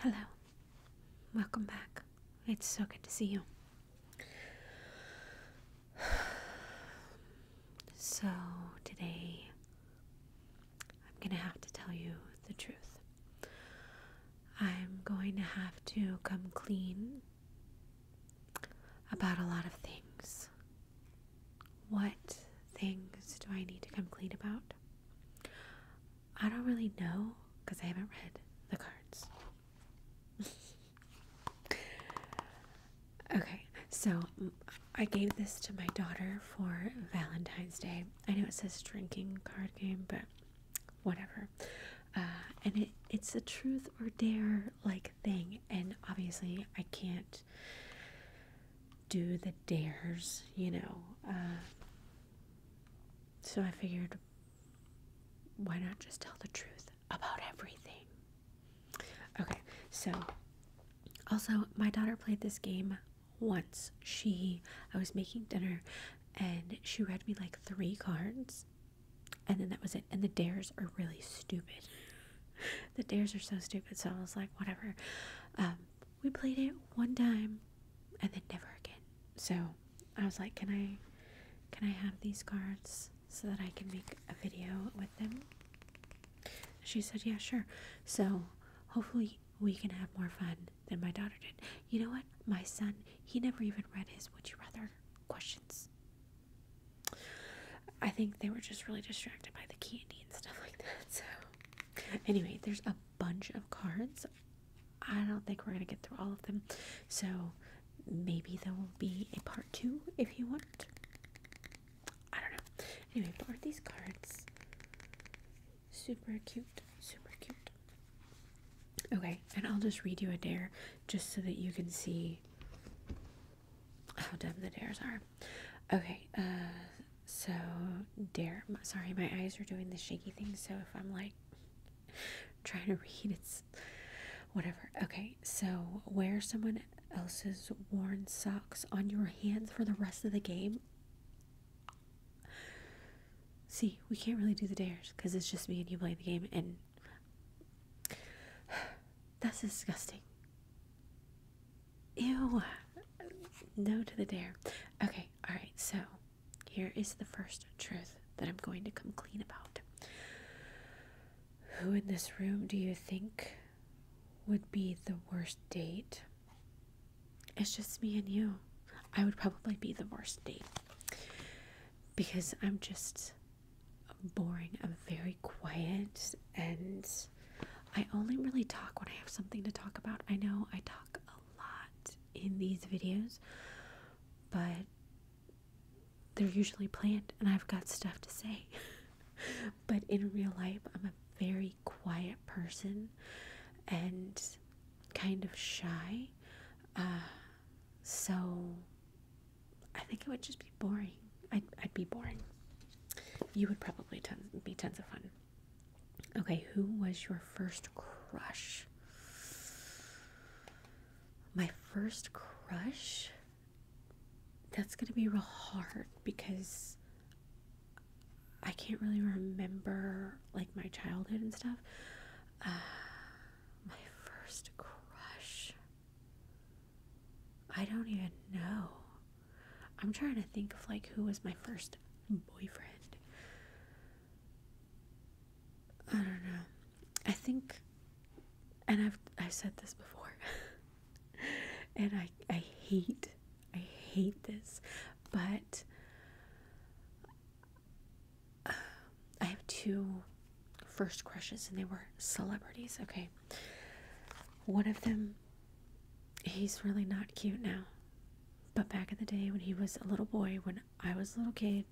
Hello. Welcome back. It's so good to see you. So, today I'm going to have to tell you the truth. I'm going to have to come clean about a lot of things what things do I need to come clean about? I don't really know because I haven't read the cards. okay, so mm, I gave this to my daughter for Valentine's Day. I know it says drinking card game, but whatever. Uh, and it, it's a truth or dare like thing. And obviously, I can't do the dares, you know. Uh, so I figured, why not just tell the truth about everything? Okay, so also, my daughter played this game once. She, I was making dinner and she read me like three cards, and then that was it. And the dares are really stupid the dares are so stupid. So I was like, whatever. Um, we played it one time, and then never again. So I was like, can I, can I have these cards so that I can make a video with them? She said, yeah, sure. So hopefully we can have more fun than my daughter did. You know what? My son, he never even read his would you rather questions. I think they were just really distracted by the candy and stuff like that. So, anyway, there's a bunch of cards. I don't think we're going to get through all of them. So, maybe there will be a part two if you want. I don't know. Anyway, but are these cards super cute? Super cute. Okay, and I'll just read you a dare just so that you can see how dumb the dares are. Okay, uh, so dare. Sorry, my eyes are doing the shaky thing. So if I'm like trying to read, it's whatever. Okay, so wear someone else's worn socks on your hands for the rest of the game. See, we can't really do the dares because it's just me and you playing the game, and That's disgusting. Ew. No to the dare. Okay, alright, so here is the first truth that I'm going to come clean about. Who in this room do you think would be the worst date? It's just me and you. I would probably be the worst date because I'm just boring. I'm very quiet and I only really talk when I have something to talk about. I know I talk a lot in these videos, but they're usually planned and I've got stuff to say. but in real life, I'm a very quiet person and kind of shy. Uh, so I think it would just be boring. I'd, I'd be boring. You would probably ton be tons of fun. Okay, who was your first crush? My first crush? That's gonna be real hard because I can't really remember like my childhood and stuff. Uh, my first crush. I don't even know. I'm trying to think of like who was my first boyfriend. I don't know. I think and I've I've said this before. and I I hate I hate this, but um, I have two first crushes and they were celebrities. Okay. One of them, he's really not cute now. But back in the day when he was a little boy, when I was a little kid,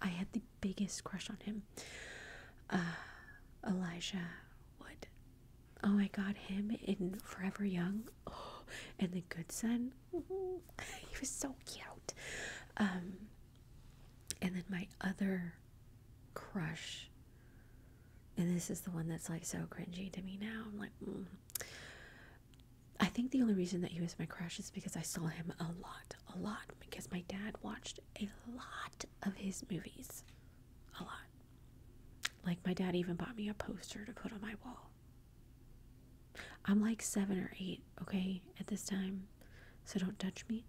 I had the biggest crush on him. Uh, Elijah Wood. Oh my god, him in Forever Young oh, and The Good Son. he was so cute. Um, and then my other crush, and this is the one that's like so cringy to me now. I'm like, mm. I think the only reason that he was my crush is because I saw him a lot, a lot, because my dad watched a lot of his movies. A lot. Like, my dad even bought me a poster to put on my wall. I'm like seven or eight, okay, at this time, so don't touch me.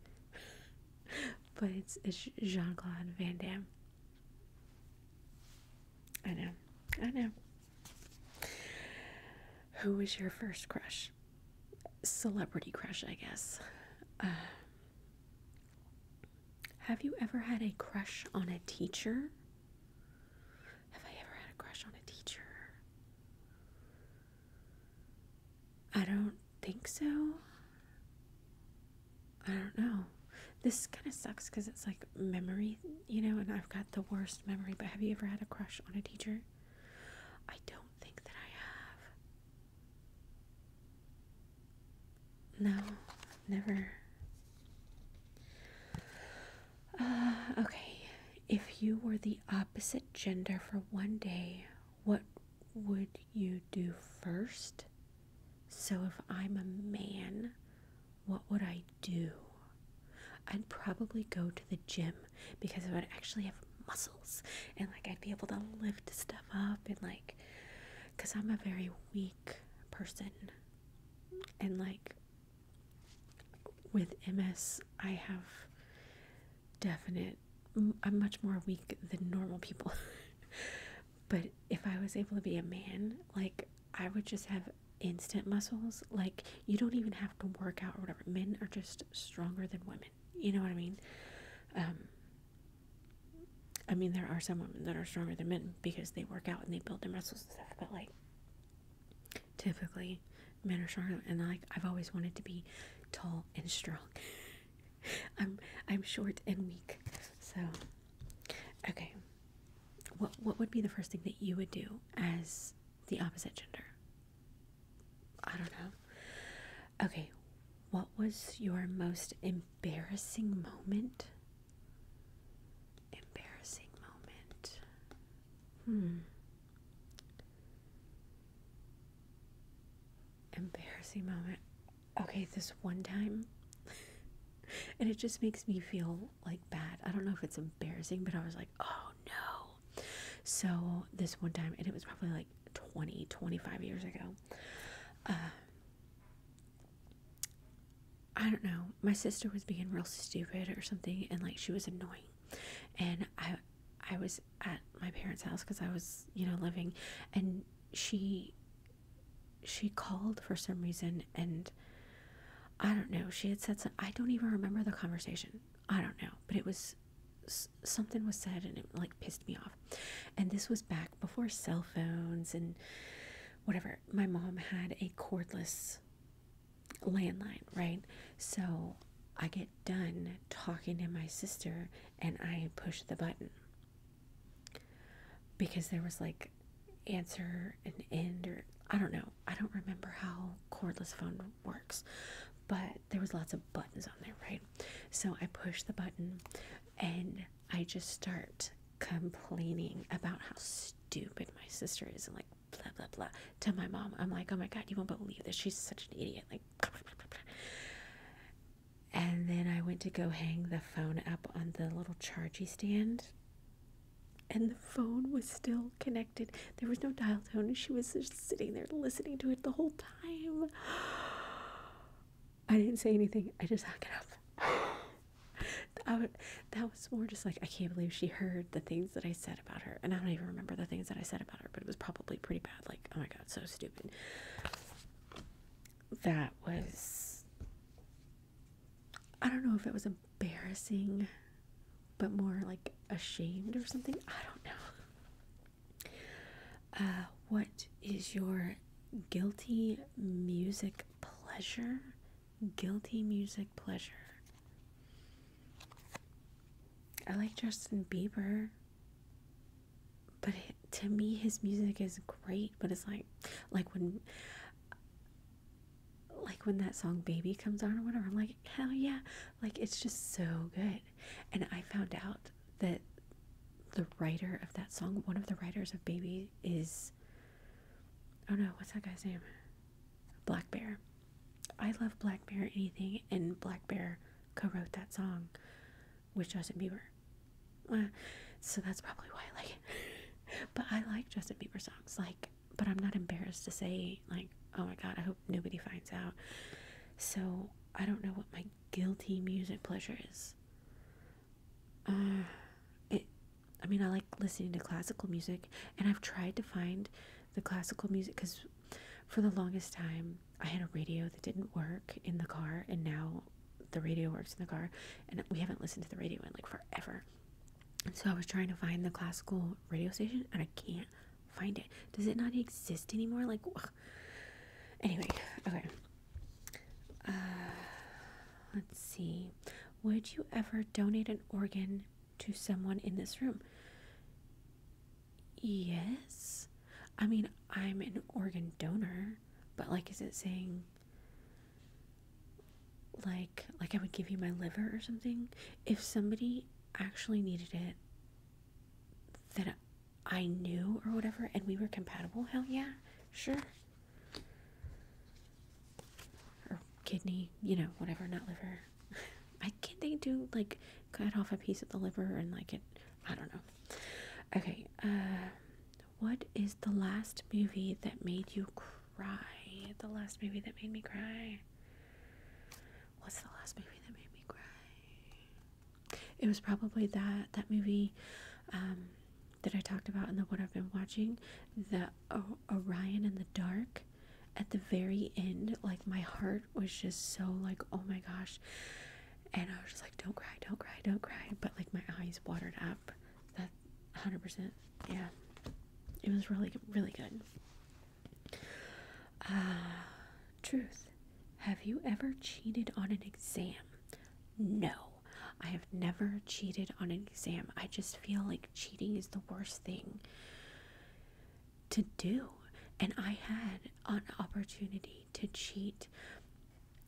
but it's, Jean Claude Van Damme. I know, I know. Who was your first crush? Celebrity crush, I guess. Uh, have you ever had a crush on a teacher? Have I ever had a crush on a teacher? I don't think so. I don't know. This kind of sucks because it's like memory, you know, and I've got the worst memory. But have you ever had a crush on a teacher? I don't think that I have. No, never. Uh, okay. If you were the opposite gender for one day, what would you do first? So, if I'm a man, what would I do? I'd probably go to the gym because I would actually have muscles and like I'd be able to lift stuff up and like because I'm a very weak person and like with MS I have definite I'm much more weak than normal people. but if I was able to be a man, like I would just have instant muscles. Like you don't even have to work out or whatever. Men are just stronger than women. You know what I mean? Um, I mean, there are some women that are stronger than men because they work out and they build their muscles and stuff. But like, typically, men are stronger and like I've always wanted to be tall and strong. I'm I'm short and weak. So okay. What what would be the first thing that you would do as the opposite gender? I don't know. Okay. What was your most embarrassing moment? Embarrassing moment. Hmm. Embarrassing moment. Okay, this one time, and it just makes me feel like bad. I don't know if it's embarrassing, but I was like, oh no. So, this one time, and it was probably like 20, 25 years ago. Um, I don't know. My sister was being real stupid or something, and like she was annoying, and I, I was at my parents' house because I was, you know, living, and she she called for some reason, and I don't know. She had said some, I don't even remember the conversation. I don't know, but it was something was said, and it like pissed me off. And this was back before cell phones and whatever. My mom had a cordless landline, right? So I get done talking to my sister and I pushed the button because there was like answer and end or I don't know. I don't remember how cordless phone works, but there was lots of buttons on there, right? So I push the button and I just start complaining about how stupid my sister is and like blah blah blah to my mom. I'm like, "Oh my god, you won't believe this. She's such an idiot." Like and then I went to go hang the phone up on the little chargey stand and the phone was still connected. There was no dial tone. She was just sitting there listening to it the whole time. I didn't say anything. I just hung it up. that was more just like, I can't believe she heard the things that I said about her, and I don't even remember the things that I said about her, but it was probably pretty bad. Like, oh my god, so stupid. That was, I don't know if it was embarrassing, but more like ashamed or something. I don't know. Uh, what is your guilty music pleasure? Guilty music pleasure. I like Justin Bieber, but to me his music is great. But it's like, like when, like when that song "Baby" comes on or whatever. I'm like, hell yeah! Like it's just so good. And I found out that the writer of that song, one of the writers of "Baby," is oh no, what's that guy's name? Black Bear. I love Black Bear anything, and Black Bear co wrote that song with Justin Bieber. Uh, so that's probably why I like it. but I like Justin Bieber songs. Like, but I'm not embarrassed to say, like, oh my god, I hope nobody finds out. So I don't know what my guilty music pleasure is. Uh, it, I mean, I like listening to classical music, and I've tried to find the classical music because for the longest time I had a radio that didn't work in the car, and now the radio works in the car, and we haven't listened to the radio in like forever. so I was trying to find the classical radio station, and I can't find it. Does it not exist anymore? Like, anyway, okay. Uh, let's see. Would you ever donate an organ to someone in this room? Yes. I mean, I'm an organ donor, but like is it saying like like I would give you my liver or something? If somebody actually needed it that I knew or whatever and we were compatible, hell yeah, sure. Or kidney, you know, whatever, not liver. I can't they do like cut off a piece of the liver and like it I don't know. Okay, um, what is the last movie that made you cry? The last movie that made me cry. What's the last movie that made me cry? It was probably that that movie um, that I talked about and the one I've been watching, the Orion in the Dark at the very end like my heart was just so like oh my gosh and i was just like don't cry don't cry don't cry but like my eyes watered up that 100% yeah it was really really good uh, truth have you ever cheated on an exam no i have never cheated on an exam i just feel like cheating is the worst thing to do. And I had an opportunity to cheat.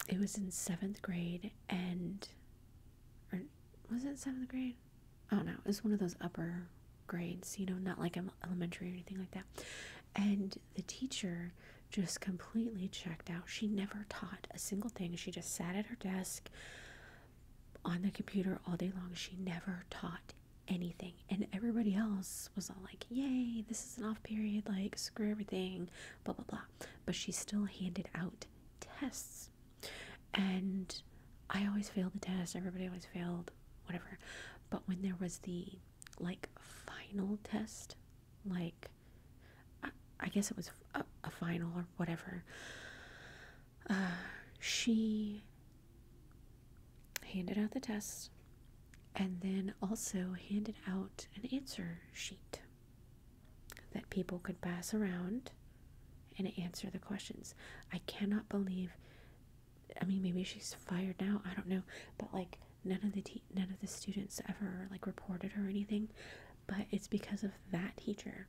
It was in seventh grade, and was it seventh grade? Oh no, it was one of those upper grades, you know, not like elementary or anything like that. And the teacher just completely checked out. She never taught a single thing. She just sat at her desk, on the computer all day long. She never taught anything. And everybody else was all like, yay, this is an off period, like, screw everything, blah, blah, blah. But she still handed out tests. And I always failed the test, everybody always failed, whatever. But when there was the like final test, like I, guess it was a final or whatever, she handed out the test, and then also handed out an answer sheet that people could pass around and answer the questions. I cannot believe I mean maybe she's fired now, I don't know, but like none of the none of the students ever like reported her or anything, but it's because of that teacher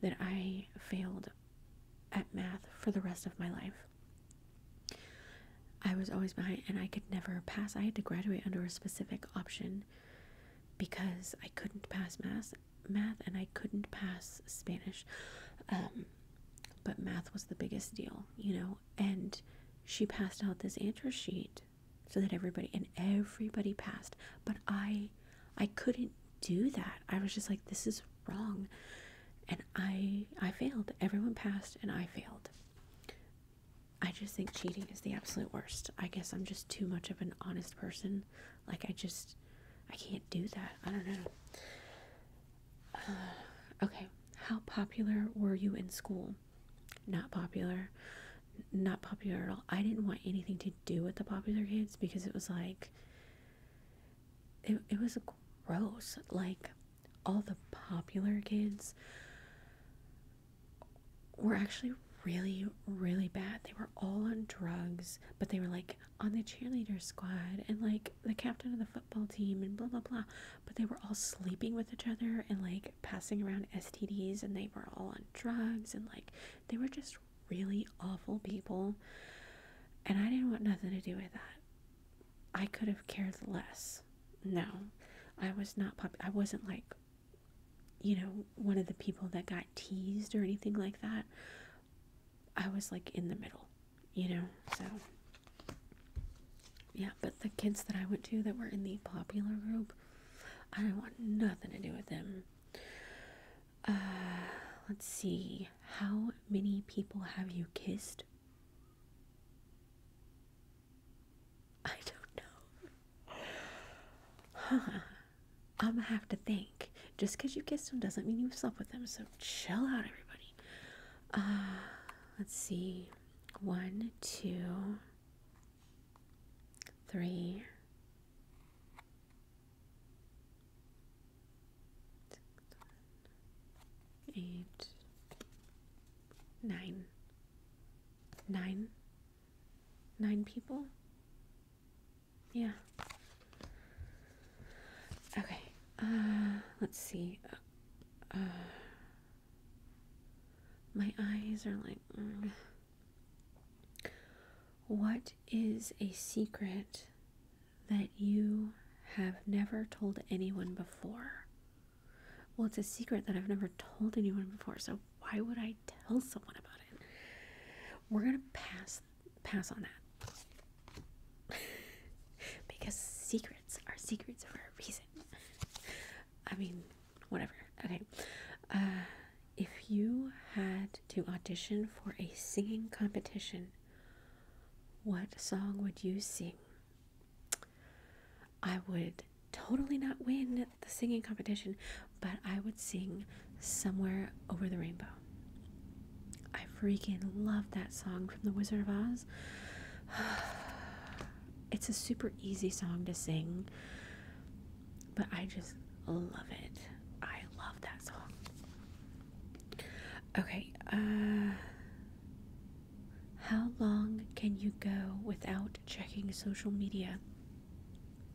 that I failed at math for the rest of my life. I was always behind and I could never pass. I had to graduate under a specific option because I couldn't pass math, math and I couldn't pass Spanish. Um, but math was the biggest deal, you know, and she passed out this answer sheet so that everybody and everybody passed, but I I couldn't do that. I was just like this is wrong. And I I failed. Everyone passed and I failed. I just think cheating is the absolute worst. I guess I'm just too much of an honest person. Like I just I can't do that. I don't know. okay, how popular were you in school? Not popular. Not popular at all. I didn't want anything to do with the popular kids because it was like it, it was gross like all the popular kids were actually really really bad they were all on drugs but they were like on the cheerleader squad and like the captain of the football team and blah blah blah but they were all sleeping with each other and like passing around STDs and they were all on drugs and like they were just really awful people, and I didn't want nothing to do with that. I could have cared less. No, I was not pop. I wasn't like, you know, one of the people that got teased or anything like that. I was like in the middle, you know. So yeah, but the kids that I went to that were in the popular group, I didn't want nothing to do with them. Uh, let's see. How many people have you kissed? I don't know. Huh. I'm gonna have to think. Just because you kissed them doesn't mean you slept with them, so chill out, everybody. Uh, let's see. One, two, three, eight, nine, nine, nine people. Yeah. Okay. Uh, let's see. Uh, my eyes are like. Mm. What is a secret that you have never told anyone before? Well, it's a secret that I've never told anyone before, so why would I tell someone about it? We're gonna pass pass on that. because secrets are secrets for a reason. I mean, whatever. Okay. Uh if you had to audition for a singing competition, what song would you sing? I would totally not win the singing competition, but I would sing Somewhere Over the Rainbow. I freaking love that song from The Wizard of Oz. It's a super easy song to sing but I just love it. I love that song. Okay, uh, how long can you go without checking social media?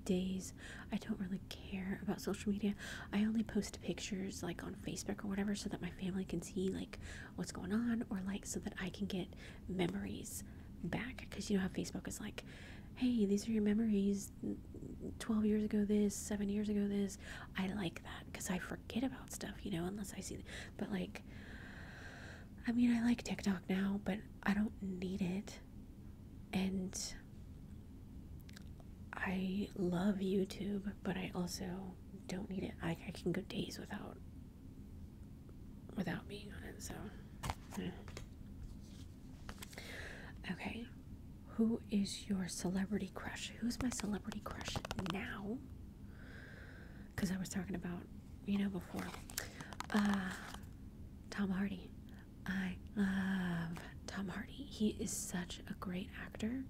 Days. I don't really care about social media. I only post pictures like on Facebook or whatever so that my family can see like what's going on or like so that I can get memories back because you know how Facebook is like, hey, these are your memories 12 years ago this, seven years ago this. I like that because I forget about stuff, you know, unless I see. But like, I mean, I like TikTok now, but I don't need it. And I love YouTube, but I also don't need it. I, I can go days without without being on it. So. Okay, who is your celebrity crush? Who's my celebrity crush now? Because I was talking about, you know, before. Uh, Tom Hardy. I love Tom Hardy. He is such a great actor,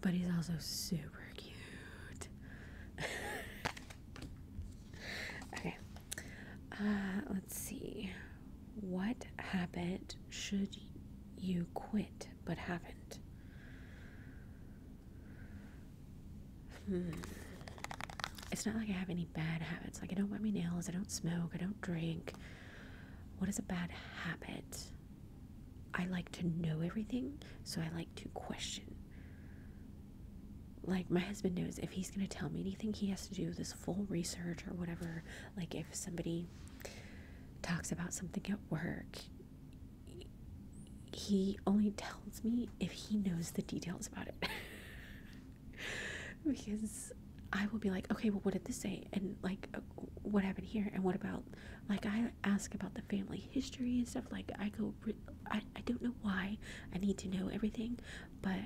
but he's also super cute. okay, uh, let's see. What habit should you quit but haven't? Hmm. It's not like I have any bad habits. Like, I don't bite my nails, I don't smoke, I don't drink. What is a bad habit? I like to know everything, so I like to question like my husband knows if he's going to tell me anything he has to do this full research or whatever like if somebody talks about something at work he only tells me if he knows the details about it because i will be like okay well what did this say and like uh, what happened here and what about like i ask about the family history and stuff like i go i, I don't know why i need to know everything but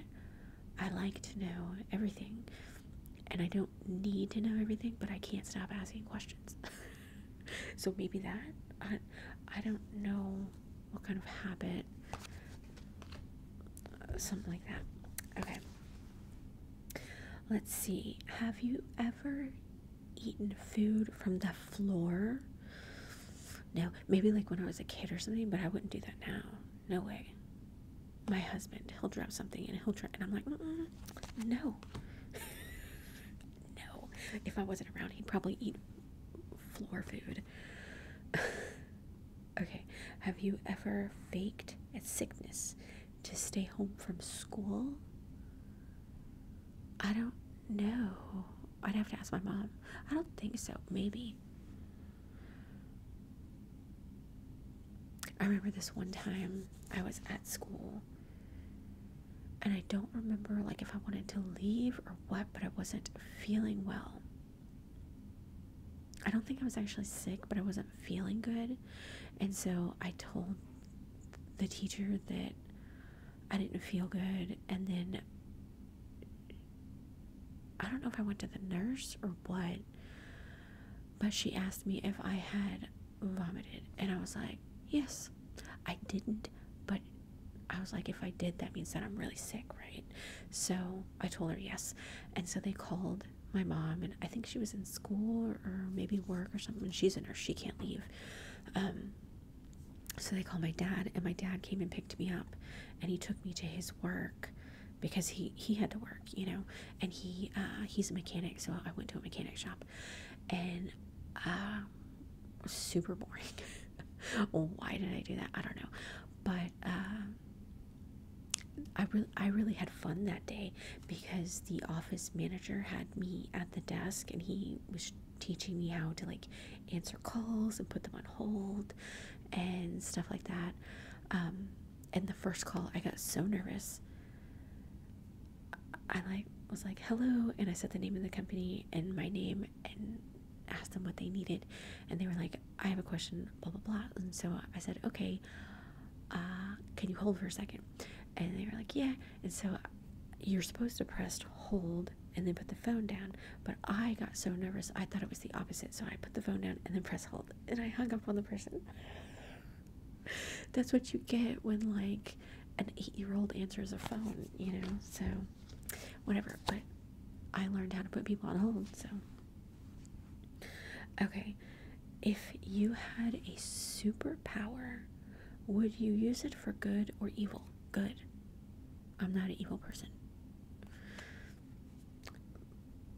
I like to know everything, and I don't need to know everything, but I can't stop asking questions. so maybe that I I don't know what kind of habit, uh, something like that. Okay. Let's see. Have you ever eaten food from the floor? No, maybe like when I was a kid or something, but I wouldn't do that now no way. My husband, he'll drop something and he'll try, and I'm like, mm, mm, no, no. If I wasn't around, he'd probably eat floor food. okay, have you ever faked a sickness to stay home from school? I don't know. I'd have to ask my mom. I don't think so. Maybe. I remember this one time I was at school and I don't remember like if I wanted to leave or what, but I wasn't feeling well. I don't think I was actually sick, but I wasn't feeling good. And so I told the teacher that I didn't feel good and then I don't know if I went to the nurse or what, but she asked me if I had vomited. And I was like, yes, I didn't. But I was like, if I did, that means that I'm really sick, right? So I told her yes. And so they called my mom, and I think she was in school or, maybe work or something. She's a nurse, she can't leave. Um, so they called my dad, and my dad came and picked me up, and he took me to his work because he he had to work, you know, and he uh, he's a mechanic, so I went to a mechanic shop, and um, super boring. why did I do that? I don't know, but um, I really I really had fun that day because the office manager had me at the desk and he was teaching me how to like answer calls and put them on hold and stuff like that. Um, and the first call, I got so nervous. I like was like hello, and I said the name of the company and my name and asked them what they needed, and they were like, "I have a question," blah blah blah. And so I said, "Okay, uh, can you hold for a second? And they were like, "Yeah." And so you're supposed to press hold and then put the phone down. But I got so nervous, I thought it was the opposite. So I put the phone down and then press hold and I hung up on the person. That's what you get when, like, an eight year old answers a phone, you know? So, whatever. But I learned how to put people on hold, so. Okay, if you had a superpower, would you use it for good or evil? Good. I'm not an evil person.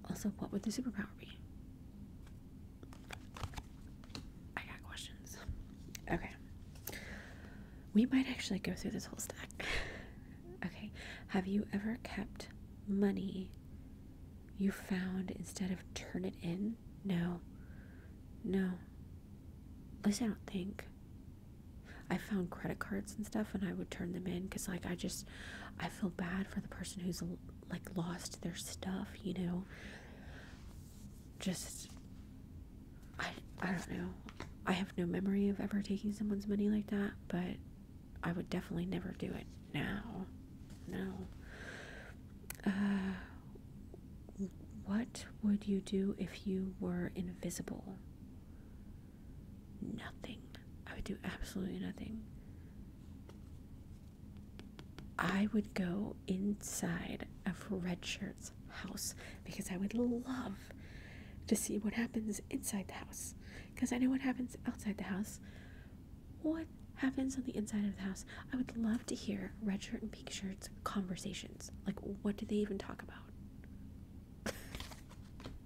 Also, what would the superpower be? I got questions. Okay. We might actually go through this whole stack. okay. Have you ever kept money you found instead of turn it in? No. No. At least I don't think. I found credit cards and stuff and I would turn them in because like I just I feel bad for the person who's like lost their stuff, you know. Just I I don't know. I have no memory of ever taking someone's money like that, but I would definitely never do it now. No. Uh what would you do if you were invisible? nothing. I would do absolutely nothing. I would go inside of Red Shirt's house because I would love to see what happens inside the house. Because I know what happens outside the house. What happens on the inside of the house? I would love to hear Red Shirt and Pink Shirt's conversations. Like, what do they even talk about?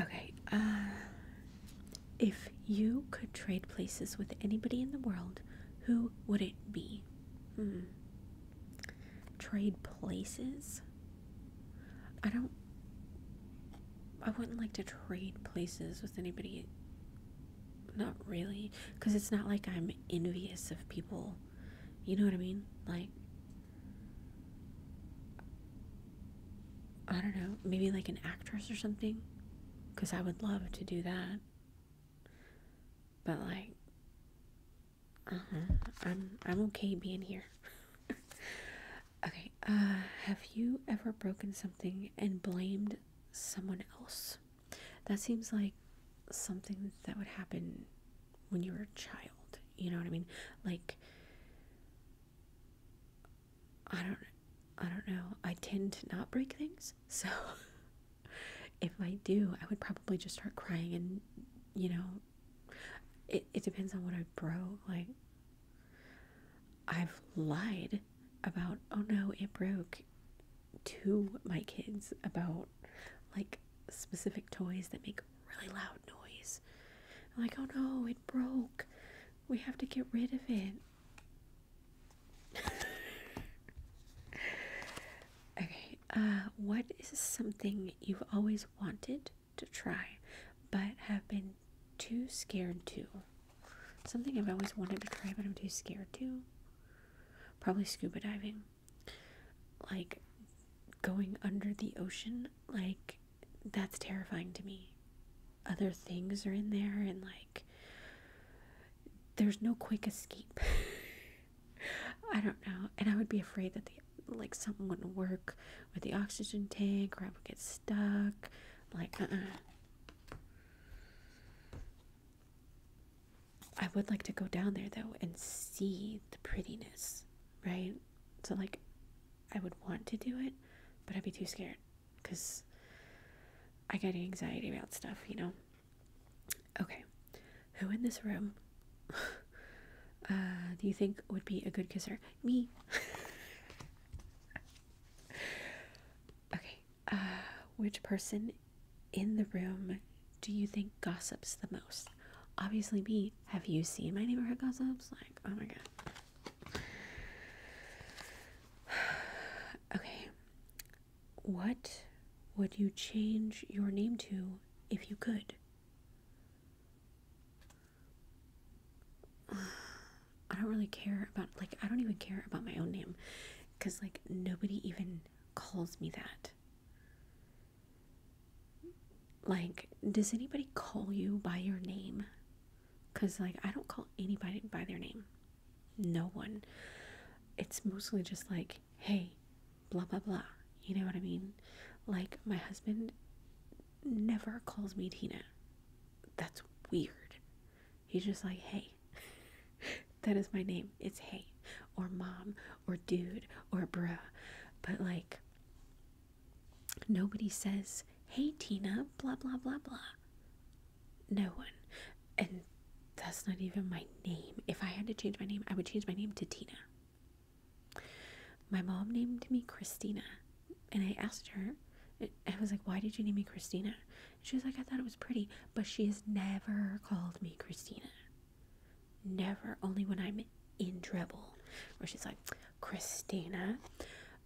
Okay, uh, if you could trade places with anybody in the world, who would it be? Hmm. Trade places? I don't. I wouldn't like to trade places with anybody. Not really. Because it's not like I'm envious of people you know what I mean? Like, I don't know, maybe like an actress or something? Because I would love to do that. But like, uh-huh, I'm, I'm okay being here. okay, uh, have you ever broken something and blamed someone else? That seems like something that would happen when you were a child. You know what I mean? Like I don't I don't know. I tend to not break things. So if I do, I would probably just start crying and you know it it depends on what I broke. Like I've lied about oh no, it broke to my kids about like specific toys that make really loud noise. like, oh no, it broke. We have to get rid of it. okay, uh, what is something you've always wanted to try but have been too scared to? Something I've always wanted to try but I'm too scared to? Probably scuba diving like going under the ocean like that's terrifying to me other things are in there and like there's no quick escape i don't know and i would be afraid that the like something wouldn't work with the oxygen tank or i would get stuck like uh I would like to go down there though and see the prettiness, right? So, like, I would want to do it, but I'd be too scared because I get anxiety about stuff, you know? Okay, who in this room uh, do you think would be a good kisser? Me. okay, uh, which person in the room do you think gossips the most? Obviously, me. Have you seen my neighborhood gossips? Like, oh my god. okay. What would you change your name to if you could? I don't really care about, like, I don't even care about my own name because, like, nobody even calls me that. Like, does anybody call you by your name? Because, like, I don't call anybody by their name. No one. It's mostly just like, hey, blah, blah, blah. You know what I mean? Like, my husband never calls me Tina. That's weird. He's just like, hey, That is my name. It's hey, or mom, or dude, or bruh. But like, nobody says, hey, Tina, blah, blah, blah, blah. No one. And that's not even my name. If I had to change my name, I would change my name to Tina. My mom named me Christina. And I asked her, I was like, why did you name me Christina? she was like, I thought it was pretty. But she has never called me Christina. Never, only when I'm in trouble, where she's like, Christina.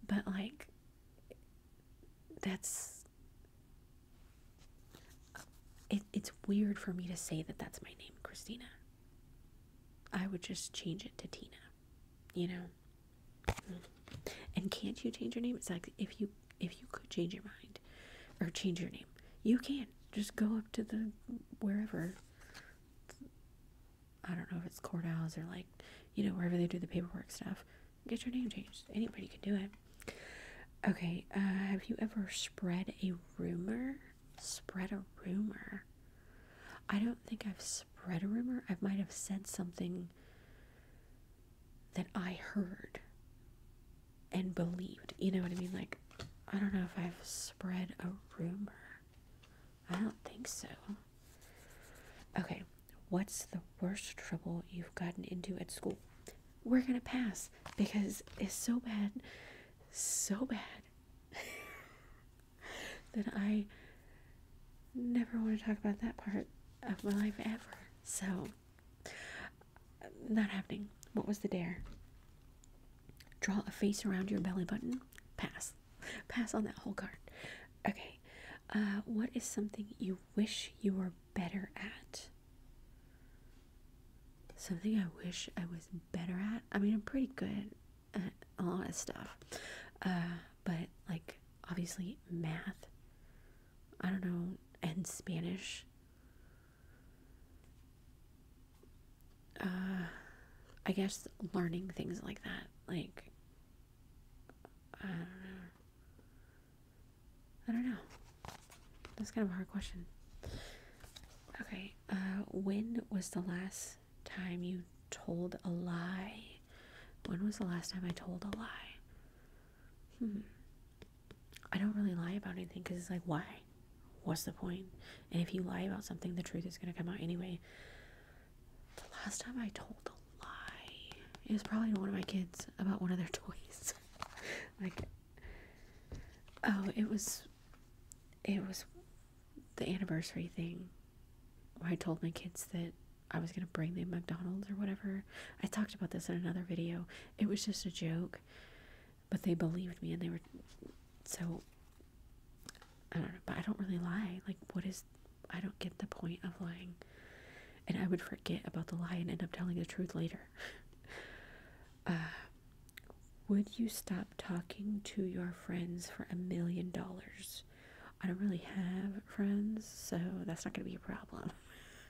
But like, that's it, it's weird for me to say that that's my name, Christina. I would just change it to Tina, you know. And can't you change your name? It's like if you if you could change your mind or change your name, you can just go up to the wherever. I don't know if it's courthouse or like, you know, wherever they do the paperwork stuff. Get your name changed. Anybody can do it. Okay, uh, have you ever spread a rumor? Spread a rumor? I don't think I've spread a rumor. I might have said something that I heard and believed. You know what I mean? Like, I don't know if I've spread a rumor. I don't think so. Okay, what's the worst trouble you've gotten into at school? We're gonna pass because it's so bad, so bad that I never want to talk about that part of my life ever. So, not happening. What was the dare? Draw a face around your belly button. Pass. Pass on that whole card. Okay. Uh, what is something you wish you were better at? Something I wish I was better at? I mean, I'm pretty good at a lot of stuff. Uh, but, like, obviously, math. I don't know. And Spanish uh, I guess learning things like that, like I don't know. I don't know. That's kind of a hard question. Okay, uh, when was the last time you told a lie? When was the last time I told a lie? hmm, I don't really lie about anything because it's like, why? What's the point? And if you lie about something, the truth is going to come out anyway. The last time I told a lie, it was probably to one of my kids about one of their toys. like, oh, it was, it was the anniversary thing where I told my kids that I was going to bring them McDonald's or whatever. I talked about this in another video, it was just a joke. But they believed me and they were so I don't know, but I don't really lie. Like what is I don't get the point of lying. And I would forget about the lie and end up telling the truth later. Uh, would you stop talking to your friends for a million dollars? I don't really have friends, so that's not going to be a problem.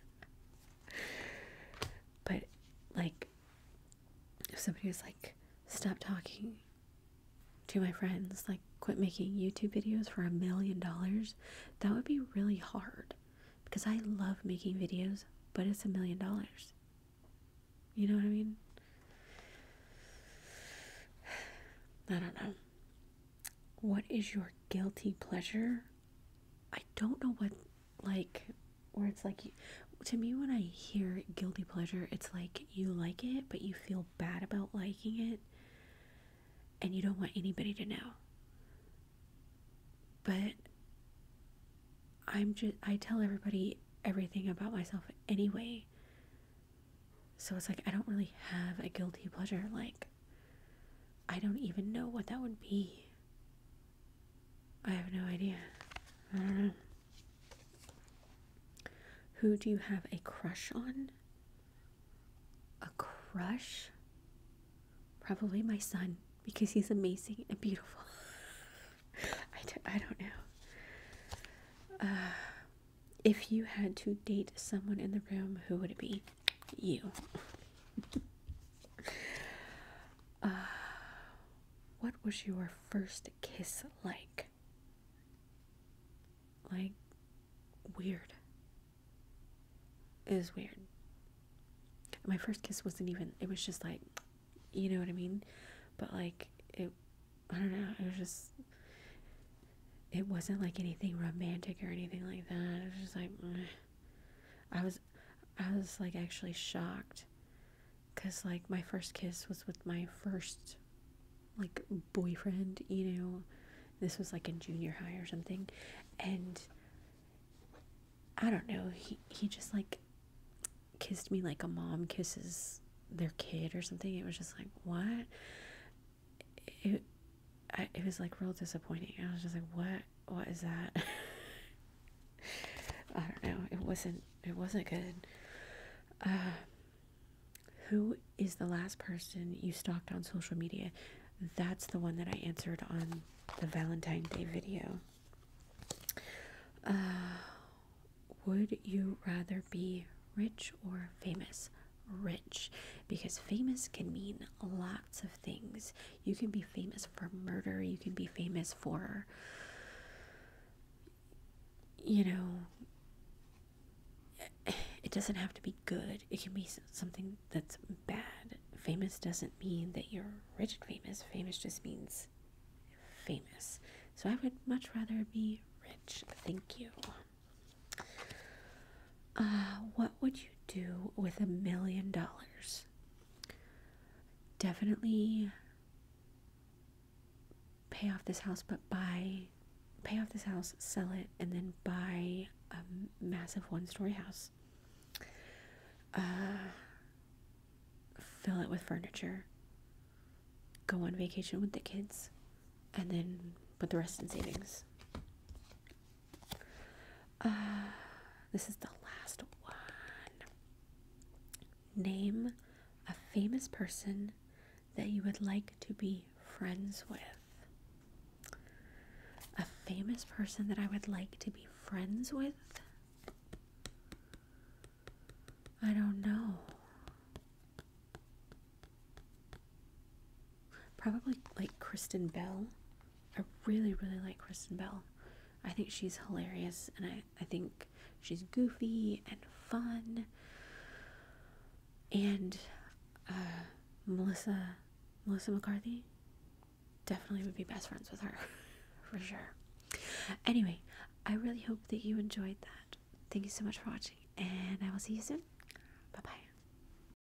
but like if somebody was like stop talking to my friends like quit making youtube videos for a million dollars that would be really hard because i love making videos but it's a million dollars you know what i mean i don't know what is your guilty pleasure I don't know what like where it's like to me when I hear guilty pleasure it's like you like it but you feel bad about liking it and you don't want anybody to know. But I'm just I tell everybody everything about myself anyway. So it's like I don't really have a guilty pleasure like I don't even know what that would be. I have no idea. Who do you have a crush on? A crush? Probably my son because he's amazing and beautiful. I d- I don't know. Uh, if you had to date someone in the room, who would it be? you. uh, what was your first kiss like? Like, weird. It was weird. My first kiss wasn't even, it was just like, you know what I mean? But like, it, I don't know, it was just, it wasn't like anything romantic or anything like that. It was just like, mm. I was I was like actually shocked cuz like my first kiss was with my first like boyfriend, you know. This was like in junior high or something and I don't know, he he just like kissed me like a mom kisses their kid or something. It was just like, what? it was like real disappointing. I was just like, what? What is that? I don't know. It wasn't. It wasn't good. Uh, who is the last person you stalked on social media? That's the one that I answered on the Valentine Day video. Uh, would you rather be rich or famous? Rich, because famous can mean a lot of things. You can be famous for murder, you can be famous for, you know, it doesn't have to be good, it can be something that's bad. Famous doesn't mean that you're rich famous, famous just means famous. So I would much rather be rich. Thank you. Uh, what would you do with a million dollars? Definitely pay off this house, but buy, pay off this house, sell it, and then buy a massive one story house. Uh, fill it with furniture, go on vacation with the kids, and then put the rest in savings. Uh, this is the last one. Name a famous person that you would like to be friends with. A famous person that I would like to be friends with? I don't know. Probably like Kristen Bell. I really, really like Kristen Bell. I think she's hilarious and I, I think she's goofy and fun. And uh, Melissa Melissa McCarthy definitely would be best friends with her for sure. Anyway, I really hope that you enjoyed that. Thank you so much for watching and I will see you soon. Bye bye.